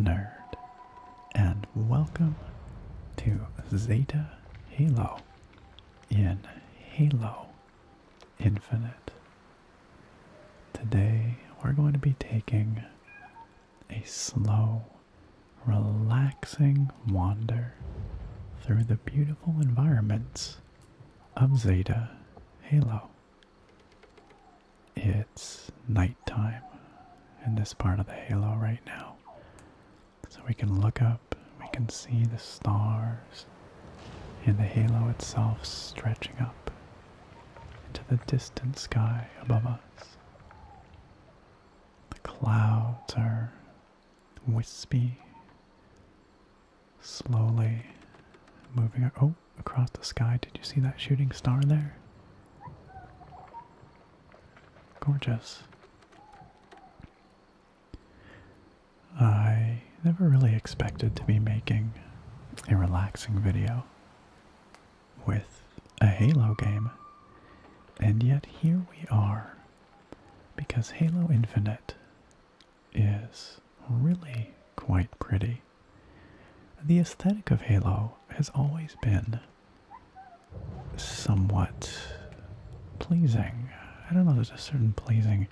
nerd, and welcome to Zeta Halo in Halo Infinite. Today we're going to be taking a slow, relaxing wander through the beautiful environments of Zeta Halo it's nighttime in this part of the halo right now. So we can look up, we can see the stars and the halo itself stretching up into the distant sky above us. The clouds are wispy, slowly moving. Oh, across the sky. Did you see that shooting star there? Gorgeous. I never really expected to be making a relaxing video with a Halo game, and yet here we are because Halo Infinite is really quite pretty. The aesthetic of Halo has always been somewhat pleasing. I don't know, there's a certain pleasing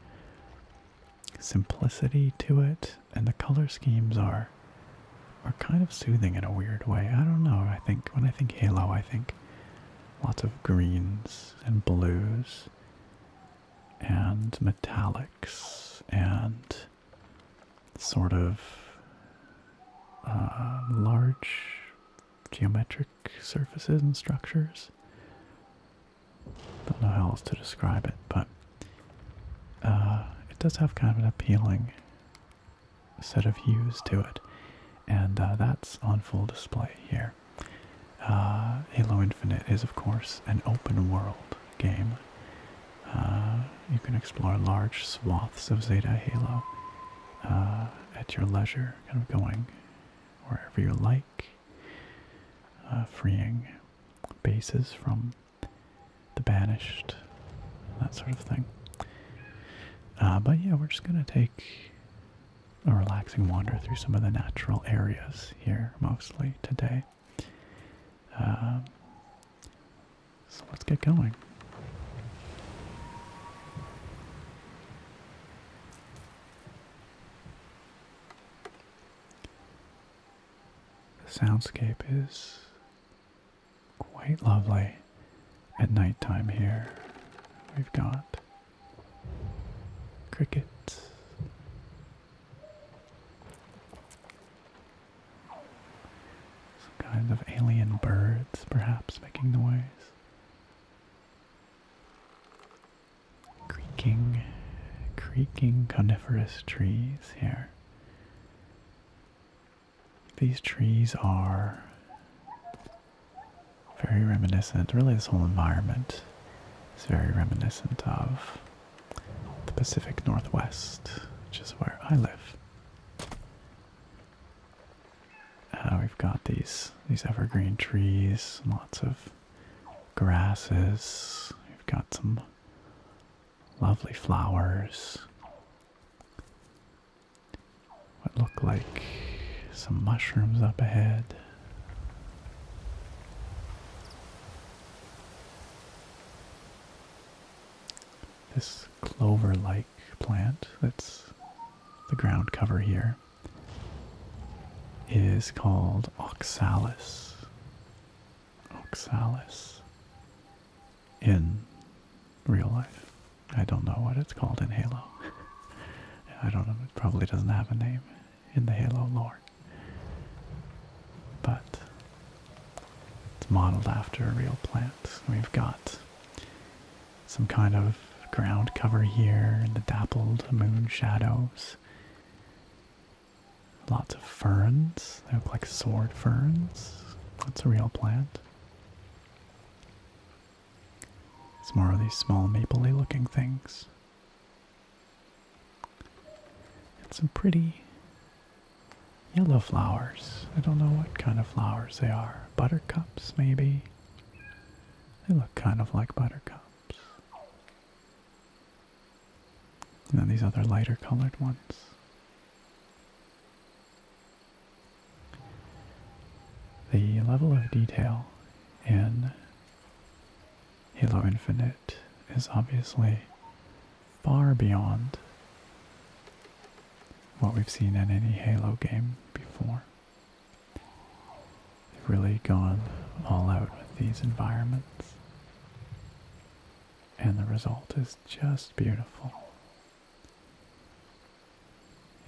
simplicity to it, and the color schemes are are kind of soothing in a weird way. I don't know. I think when I think Halo, I think lots of greens and blues and metallics and sort of uh, large geometric surfaces and structures. Don't know how else to describe it, but uh, it does have kind of an appealing set of hues to it, and uh, that's on full display here. Halo Infinite is, of course, an open world game, uh, you can explore large swaths of Zeta Halo uh, at your leisure, kind of going wherever you like, uh, freeing bases from the banished, that sort of thing. but yeah, we're just going to take a relaxing wander through some of the natural areas here mostly today. Um, so let's get going. The soundscape is quite lovely at nighttime here. We've got crickets, some kind of alien birds, perhaps, making noise. Creaking, creaking coniferous trees here. These trees are very reminiscent, really, this whole environment is very reminiscent of the Pacific Northwest, which is where I live. Uh, we've got these these evergreen trees, lots of grasses. We've got some lovely flowers. What look like some mushrooms up ahead this clover-like plant that's the ground cover here is called oxalis. Oxalis in real life. I don't know what it's called in Halo. I don't know, it probably doesn't have a name in the Halo lore. But it's modeled after a real plant. We've got some kind of ground cover here in the dappled moon shadows. Lots of ferns. They look like sword ferns. That's a real plant. Some more of these small mapley looking things. It's some pretty Yellow flowers. I don't know what kind of flowers they are. Buttercups, maybe? They look kind of like buttercups. And then these other lighter colored ones. The level of detail in Halo Infinite is obviously far beyond what we've seen in any Halo game before. They've really gone all out with these environments. And the result is just beautiful.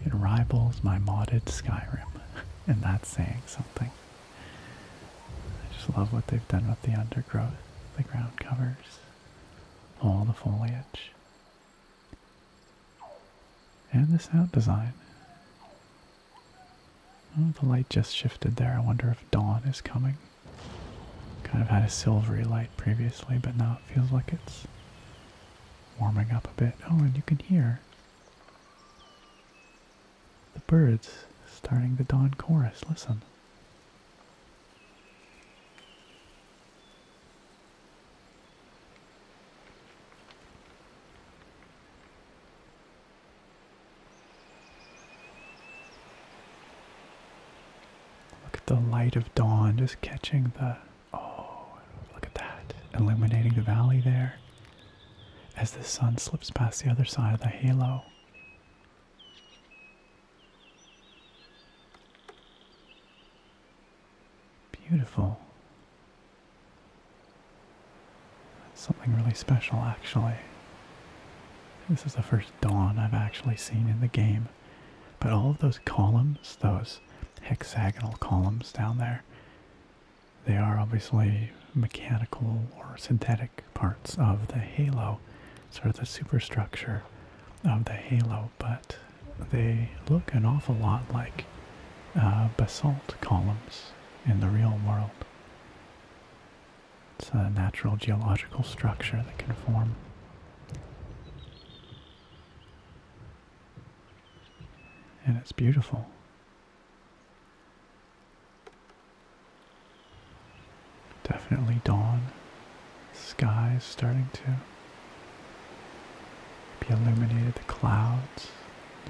It rivals my modded Skyrim, and that's saying something. I just love what they've done with the undergrowth, the ground covers, all the foliage. And the sound design. Oh, the light just shifted there. I wonder if dawn is coming. Kind of had a silvery light previously, but now it feels like it's warming up a bit. Oh, and you can hear the birds starting the dawn chorus. Listen. Look at the light of dawn just catching the. Oh, look at that. Illuminating the valley there as the sun slips past the other side of the halo. Beautiful. something really special, actually. This is the first dawn I've actually seen in the game. But all of those columns, those hexagonal columns down there, they are obviously mechanical or synthetic parts of the halo, sort of the superstructure of the halo, but they look an awful lot like uh, basalt columns in the real world. It's a natural geological structure that can form. And it's beautiful. Definitely dawn. Sky is starting to be illuminated, the clouds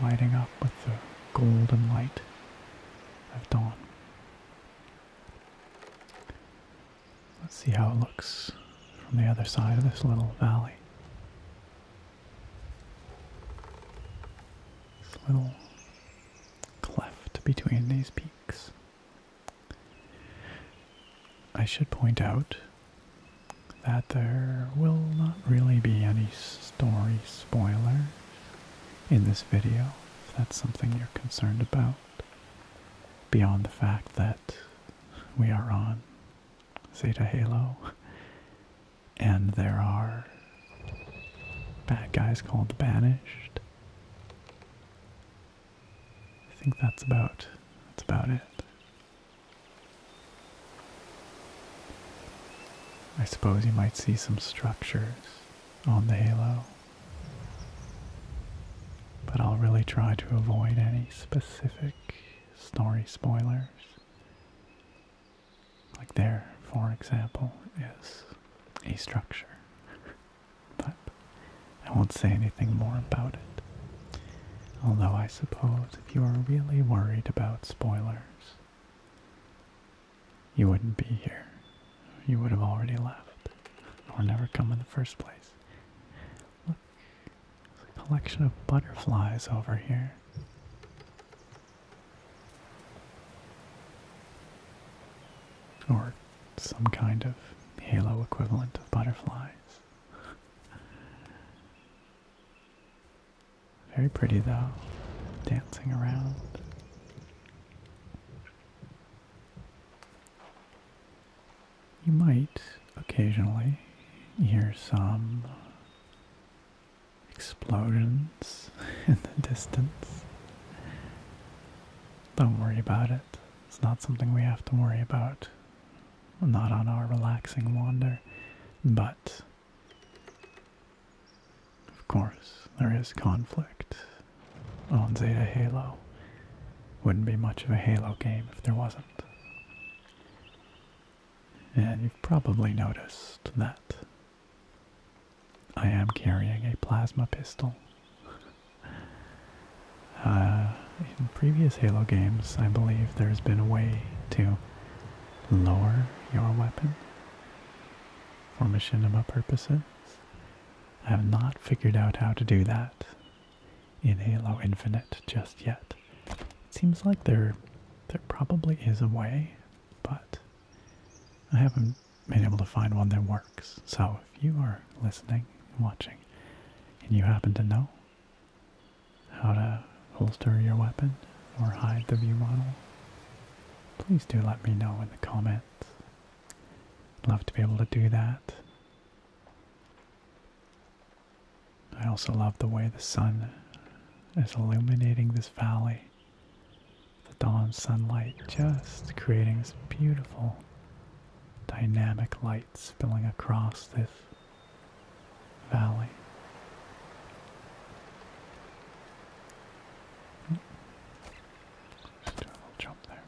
lighting up with the golden light of dawn. Let's see how it looks from the other side of this little valley. This little cleft between these peaks. I should point out that there will not really be any story spoilers in this video, if that's something you're concerned about, beyond the fact that we are on Zeta Halo and there are bad guys called the Banished I think that's about that's about it. I suppose you might see some structures on the halo. But I'll really try to avoid any specific story spoilers. Like there, for example, is a structure, but I won't say anything more about it. Although I suppose if you are really worried about spoilers, you wouldn't be here. You would have already left, or never come in the first place. Look, it's a collection of butterflies over here. Or some kind of halo equivalent of butterflies. Very pretty though, dancing around. You might occasionally hear some explosions in the distance. Don't worry about it. It's not something we have to worry about. Not on our relaxing wander. But, of course, there is conflict on Zeta Halo. Wouldn't be much of a Halo game if there wasn't. And you've probably noticed that I am carrying a plasma pistol. Uh, in previous Halo games, I believe there's been a way to lower your weapon for machinima purposes. I have not figured out how to do that in Halo Infinite just yet. It seems like there, there probably is a way, but I haven't being able to find one that works. So if you are listening and watching and you happen to know how to holster your weapon or hide the view model, please do let me know in the comments. love to be able to do that. I also love the way the sun is illuminating this valley the dawn sunlight just creating this beautiful dynamic light spilling across this valley. Hmm. do a little jump there.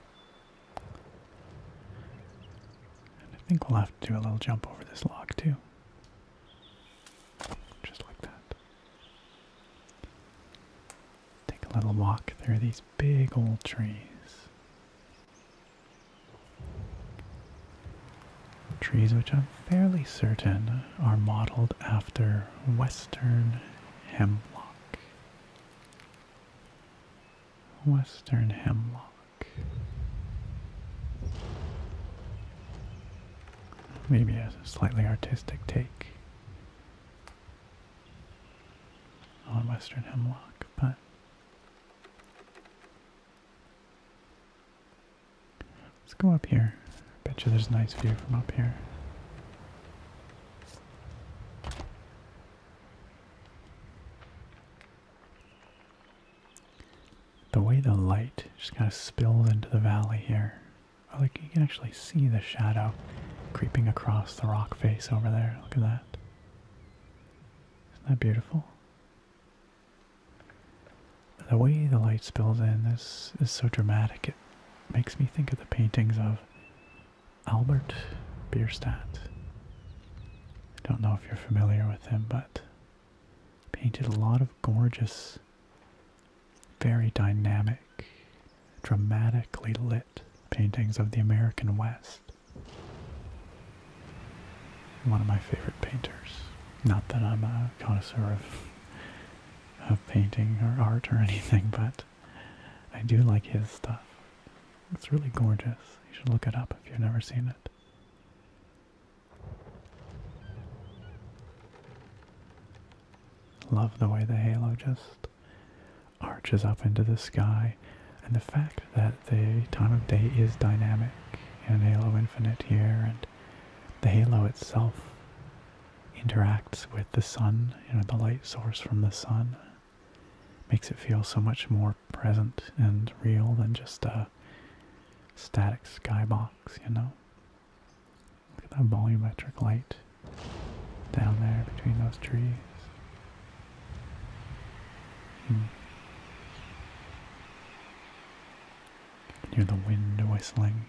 And I think we'll have to do a little jump over this log too. Just like that. Take a little walk through these big old trees. Trees which I'm fairly certain are modeled after Western hemlock. Western hemlock. Maybe a slightly artistic take on Western Hemlock, but let's go up here. I bet you there's a nice view from up here. The way the light just kind of spills into the valley here like you can actually see the shadow creeping across the rock face over there. Look at that. Isn't that beautiful? The way the light spills in this is so dramatic. It makes me think of the paintings of Albert Bierstadt. I don't know if you're familiar with him, but painted a lot of gorgeous very dynamic, dramatically lit paintings of the American West. One of my favorite painters. Not that I'm a connoisseur of, of painting or art or anything, but I do like his stuff. It's really gorgeous. You should look it up if you've never seen it. Love the way the halo just arches up into the sky and the fact that the time of day is dynamic in Halo Infinite here and the halo itself interacts with the sun, you know, the light source from the sun makes it feel so much more present and real than just a static skybox, you know. Look at that volumetric light down there between those trees. Hmm. You can hear the wind whistling.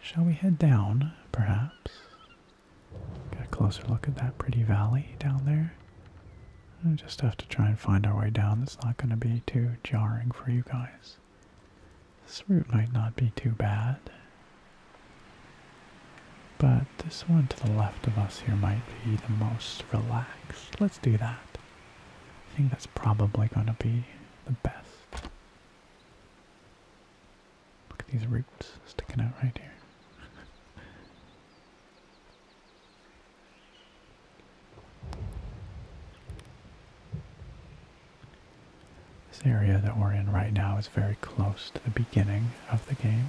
Shall we head down, perhaps? Get a closer look at that pretty valley down there. I just have to try and find our way down. It's not going to be too jarring for you guys. This route might not be too bad. But this one to the left of us here might be the most relaxed. Let's do that. I think that's probably going to be the best. Look at these roots sticking out right here. This area that we're in right now is very close to the beginning of the game.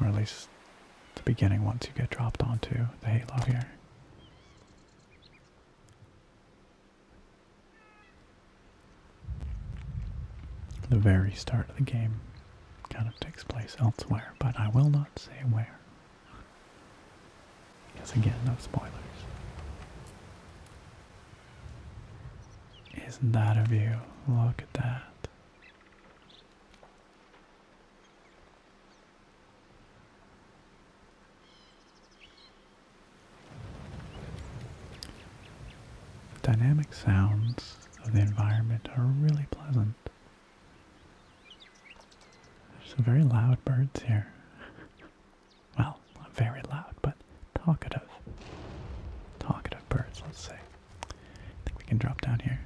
Or at least the beginning once you get dropped onto the halo here. The very start of the game kind of takes place elsewhere, but I will not say where. Because again, no spoilers. Isn't that a view? Look at that. Dynamic sounds of the environment are really pleasant. There's some very loud birds here. Well, not very loud, but talkative. Talkative birds, let's say. I think we can drop down here.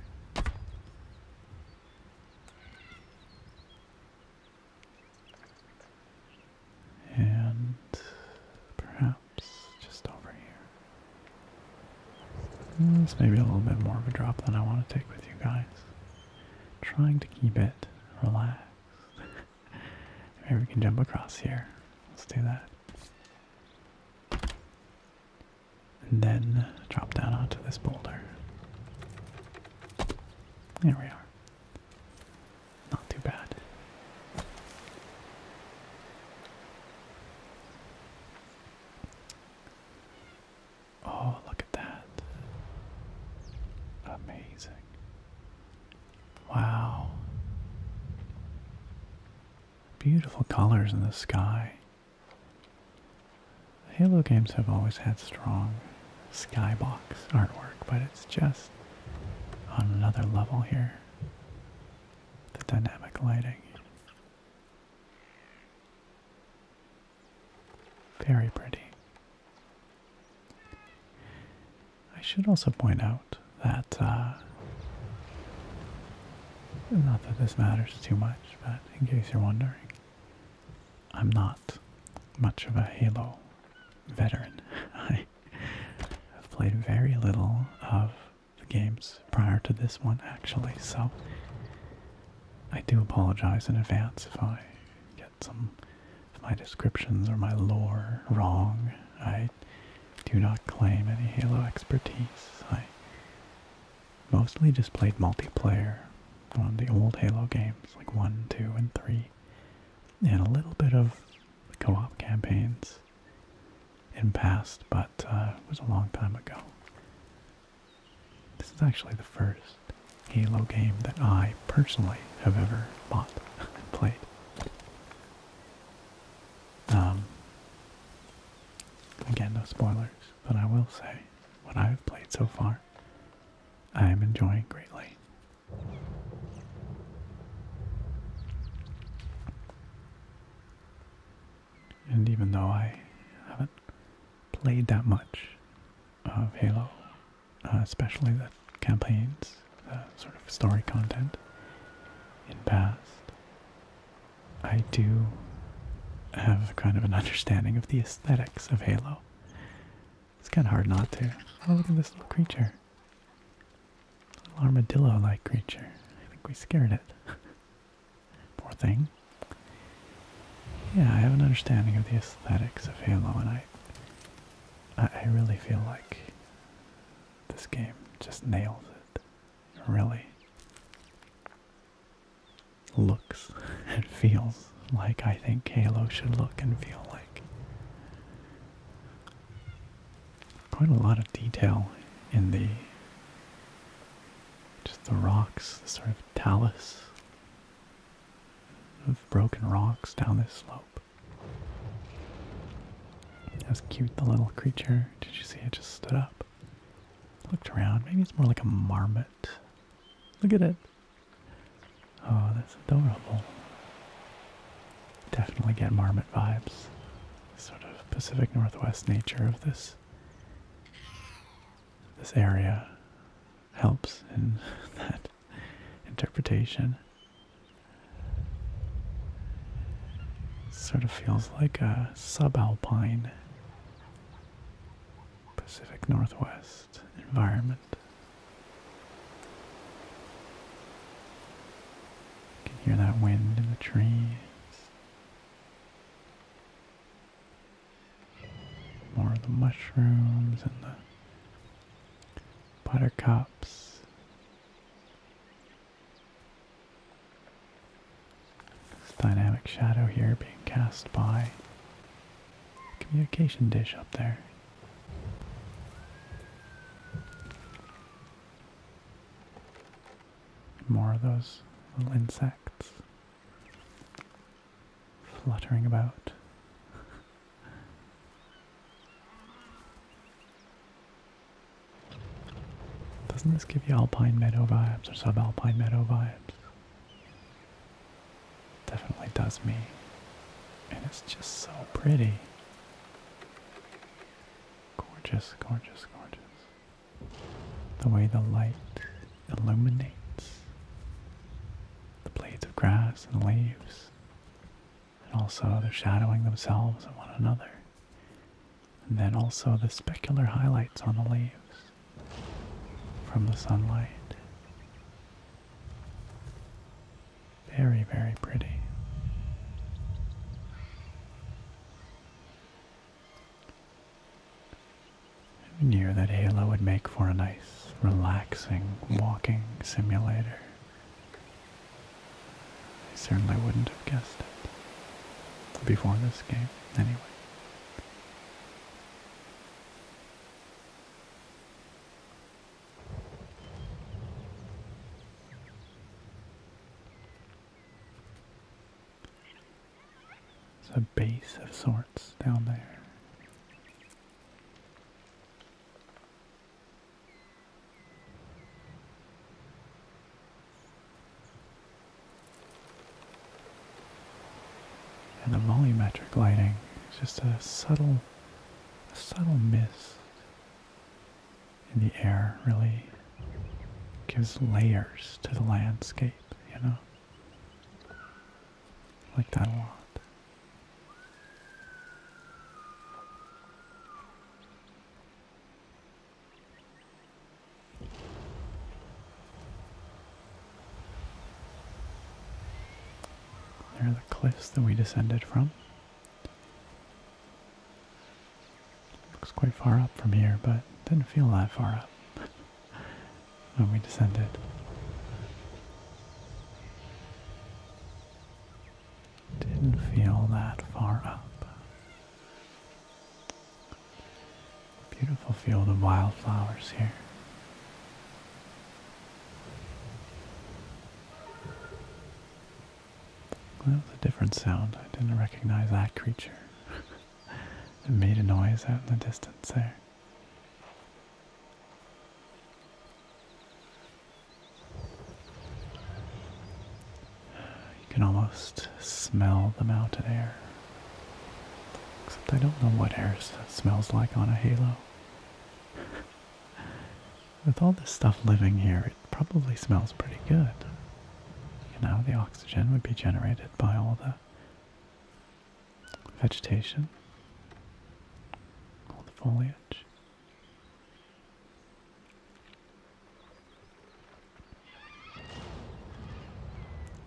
And perhaps just over here. Mm, this may be a little bit more of a drop than I want to take with you guys. Trying to keep it relaxed. Maybe we can jump across here. Let's do that. And then drop down onto this boulder. There we are. Not too bad. Oh, look at that. Amazing. Wow. Beautiful colors in the sky. Halo games have always had strong skybox artwork, but it's just on another level here. The dynamic lighting. Very pretty. I should also point out that, uh, not that this matters too much, but in case you're wondering, I'm not much of a Halo veteran. I have played very little of the games prior to this one, actually. So I do apologize in advance if I get some of my descriptions or my lore wrong. I do not claim any Halo expertise. I mostly just played multiplayer on the old Halo games, like 1, 2, and 3, and a little bit of co-op campaigns in past, but uh, it was a long time ago. This is actually the first Halo game that I personally have ever bought and played. Um, again, no spoilers, but I will say what I have played so far, I am enjoying greatly. And even though I haven't played that much of Halo, uh, especially the campaigns, the sort of story content in past, I do have kind of an understanding of the aesthetics of Halo. It's kind of hard not to. Oh, look at this little creature. Little armadillo-like creature. I think we scared it. Poor thing. Yeah, I have an understanding of the aesthetics of Halo, and I, I, really feel like this game just nails it really looks and feels like I think Halo should look and feel like quite a lot of detail in the just the rocks, the sort of talus of broken rocks down this slope. That cute, the little creature. Did you see it just stood up? Looked around. Maybe it's more like a marmot. Look at it. Oh, that's adorable. Definitely get marmot vibes. Sort of Pacific Northwest nature of this this area helps in that interpretation. sort of feels like a subalpine Pacific Northwest environment. You can hear that wind in the trees. More of the mushrooms and the buttercups. This dynamic shadow here being cast by the communication dish up there. More of those little insects fluttering about. Doesn't this give you alpine meadow vibes or subalpine meadow vibes? Definitely does me. And it's just so pretty. Gorgeous, gorgeous, gorgeous the way the light illuminates the blades of grass and the leaves, and also the shadowing themselves and one another, and then also the specular highlights on the leaves from the sunlight. Very, very pretty. Near that Halo would make for a nice, relaxing walking simulator. I certainly wouldn't have guessed it. Before this game, anyway. It's a base of sorts down there. And the volumetric lighting is just a subtle, a subtle mist in the air really gives layers to the landscape, you know? like that a There are the cliffs that we descended from. Looks quite far up from here, but didn't feel that far up when we descended. Didn't feel that far up. Beautiful field of wildflowers here. That was a different sound. I didn't recognize that creature. it made a noise out in the distance there. You can almost smell the mountain air. Except I don't know what air smells like on a halo. With all this stuff living here, probably smells pretty good. You know, the oxygen would be generated by all the vegetation, all the foliage.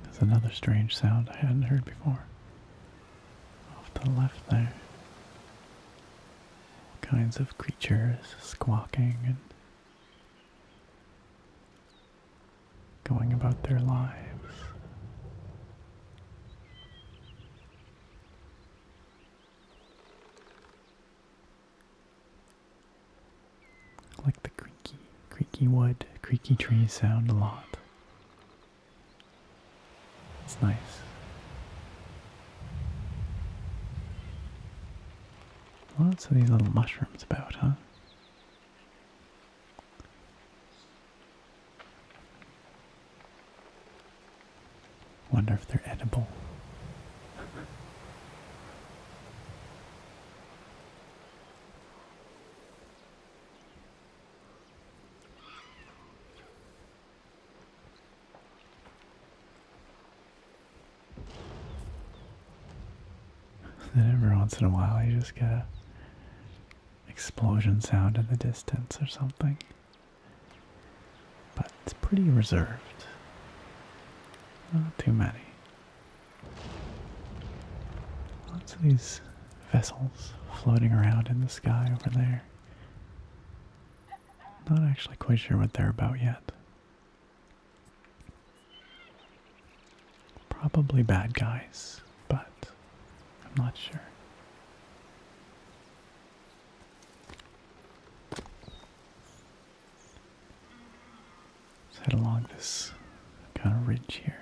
There's another strange sound I hadn't heard before. Off to the left there. kinds of creatures squawking and going about their lives. Like the creaky, creaky wood, creaky trees sound a lot. It's nice. Lots of these little mushrooms about, huh? Wonder if they're edible. then every once in a while you just get an explosion sound in the distance or something. But it's pretty reserved. Not too many. Lots of these vessels floating around in the sky over there. Not actually quite sure what they're about yet. Probably bad guys, but I'm not sure. Let's head along this kind of ridge here.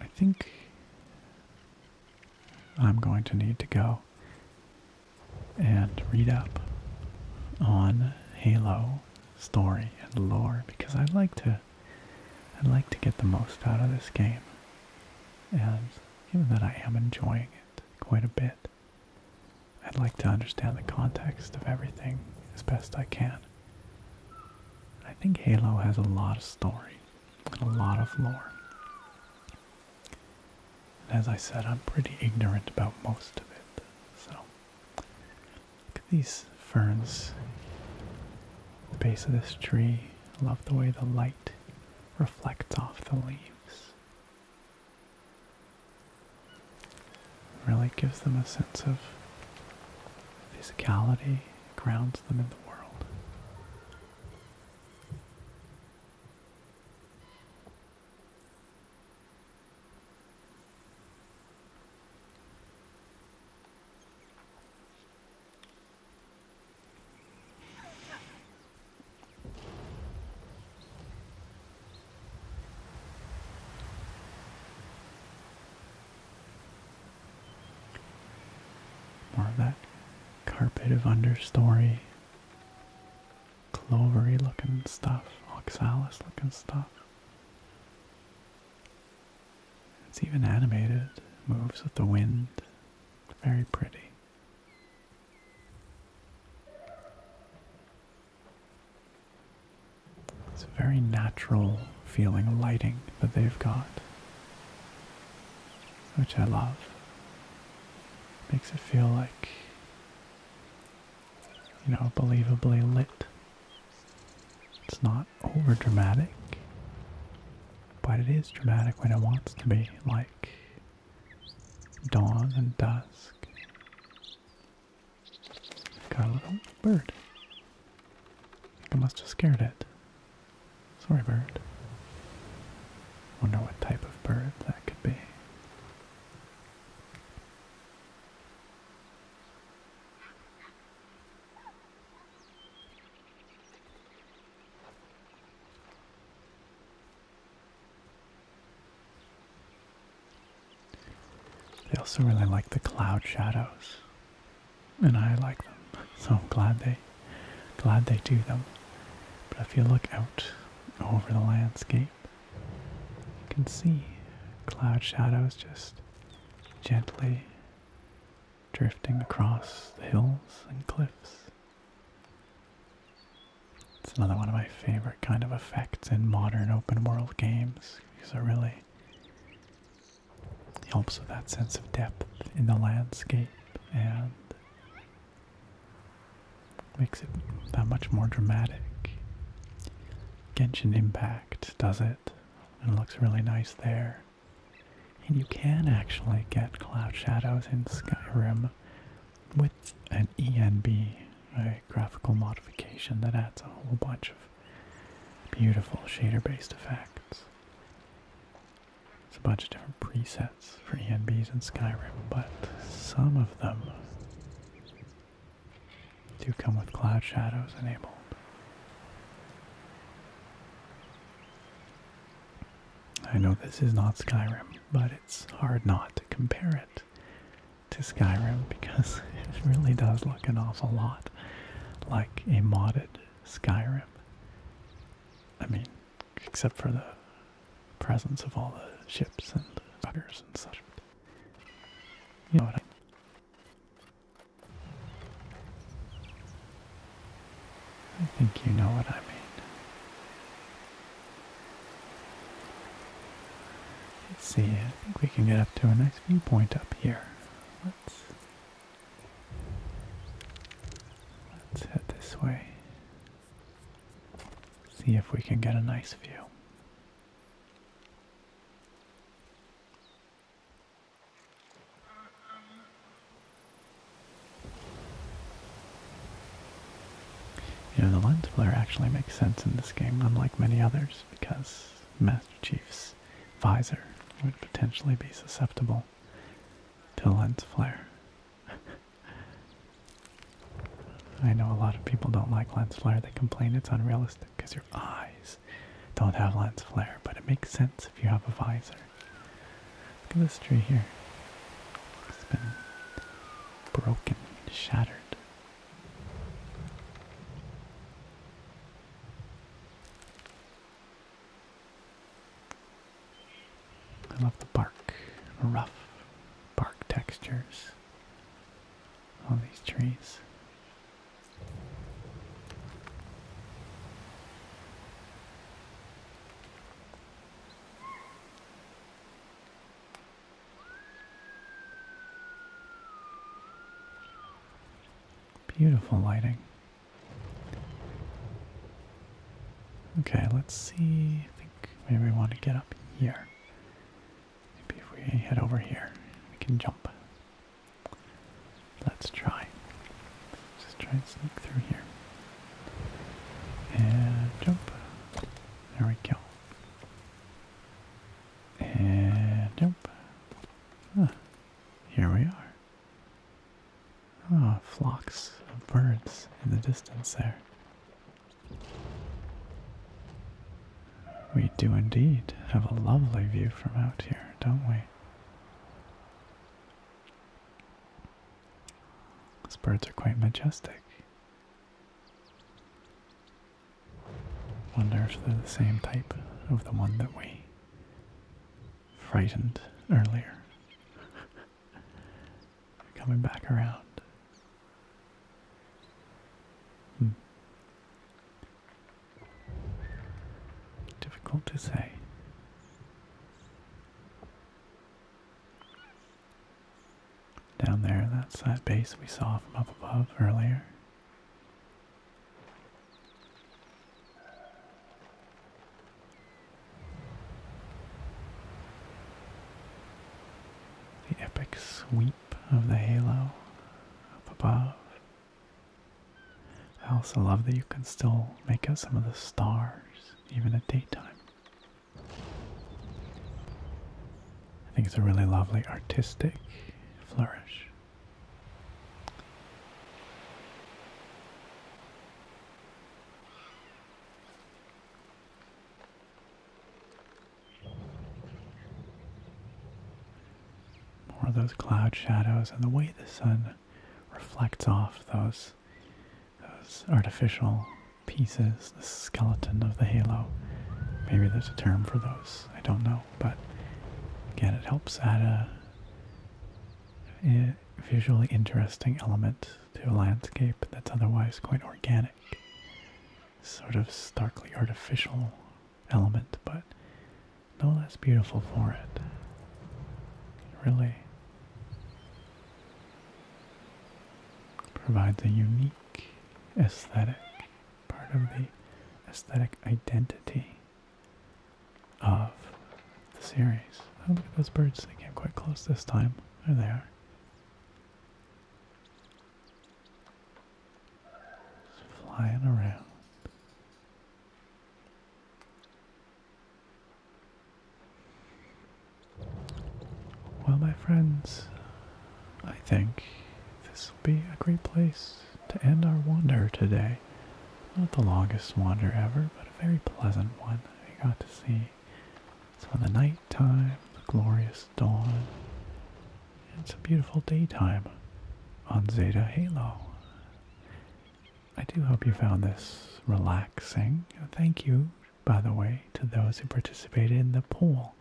I think I'm going to need to go and read up on Halo story and lore because I'd like to I'd like to get the most out of this game. And given that I am enjoying it quite a bit, I'd like to understand the context of everything as best I can. I think Halo has a lot of story and a lot of lore. And as I said, I'm pretty ignorant about most of it. So, look at these ferns. The base of this tree. I love the way the light reflects off the leaves. Really gives them a sense of physicality, grounds them in the world. More of that carpet of understory, clovery looking stuff, oxalis looking stuff. It's even animated, moves with the wind, very pretty. It's a very natural feeling lighting that they've got, which I love. Makes it feel like, you know, believably lit. It's not over dramatic, but it is dramatic when it wants to be, like dawn and dusk. Got a little bird. I must have scared it. Sorry, bird. Wonder what type of bird that could be. They also really like the cloud shadows. And I like them. So I'm glad they glad they do them. But if you look out over the landscape, you can see cloud shadows just gently drifting across the hills and cliffs. It's another one of my favorite kind of effects in modern open world games because it really helps with that sense of depth in the landscape and makes it that much more dramatic. Genshin Impact does it and it looks really nice there. And you can actually get cloud shadows in Skyrim with an ENB, a graphical modification that adds a whole bunch of beautiful shader-based effects. It's a bunch of different presets for ENBs in Skyrim, but some of them do come with cloud shadows enabled. I know this is not Skyrim, but it's hard not compare it to Skyrim because it really does look an awful lot like a modded Skyrim. I mean, except for the presence of all the ships and buggers and such. You know what I I think you know what I mean. Let's see, I think we can get up to a nice viewpoint up here. Let's let's head this way. See if we can get a nice view. You know, the lens flare actually makes sense in this game, unlike many others, because Master Chief's visor would potentially be susceptible to lens flare. I know a lot of people don't like lens flare. They complain it's unrealistic because your eyes don't have lens flare, but it makes sense if you have a visor. Look at this tree here. It's been broken, shattered. I love the bark, rough bark textures on these trees. Beautiful lighting. Okay, let's see. I think maybe we want to get up here. Maybe if we head over here, we can jump. Let's try. Just try and sneak through here. And jump. There we go. And jump. Here we are. Ah, flocks of birds in the distance there. We do indeed have a lovely view from out here, don't we? Those birds are quite majestic. Wonder if they're the same type of the one that we frightened earlier. Coming back around. Hmm. Difficult to say. Down there, that's that base we saw from up above earlier. The epic sweep of the halo up above. I also love that you can still make out some of the stars, even at daytime. I think it's a really lovely artistic flourish. More of those cloud shadows and the way the sun reflects off those those artificial pieces, the skeleton of the halo. Maybe there's a term for those. I don't know, but again, it helps add a, visually interesting element to a landscape that's otherwise quite organic. Sort of starkly artificial element, but no less beautiful for it. Really provides a unique aesthetic, part of the aesthetic identity of the series. Oh, look at those birds. They came quite close this time. There they are. flying around. Well, my friends, I think this will be a great place to end our wander today. Not the longest wander ever, but a very pleasant one. We got to see some of the nighttime, the glorious dawn, and some beautiful daytime on Zeta Halo. I do hope you found this relaxing. Thank you by the way, to those who participated in the poll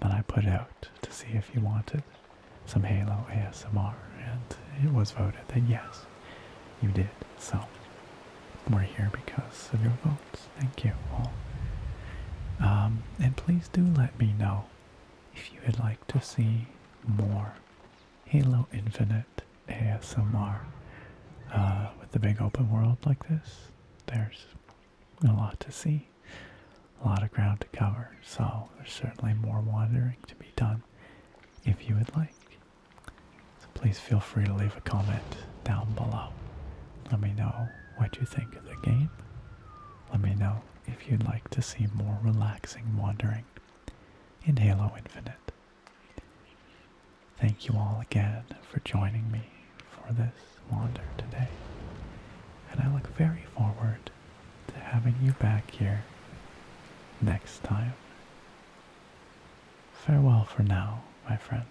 that I put out to see if you wanted some Halo ASMR. And it was voted that yes, you did. So we're here because of your votes. Thank you all. Um, and please do let me know if you would like to see more Halo Infinite ASMR uh, with the big open world like this. There's a lot to see, a lot of ground to cover, so there's certainly more wandering to be done if you would like. So please feel free to leave a comment down below. Let me know what you think of the game. Let me know if you'd like to see more relaxing wandering in Halo Infinite. Thank you all again for joining me for this wander today. And I look very forward to having you back here next time. Farewell for now, my friends.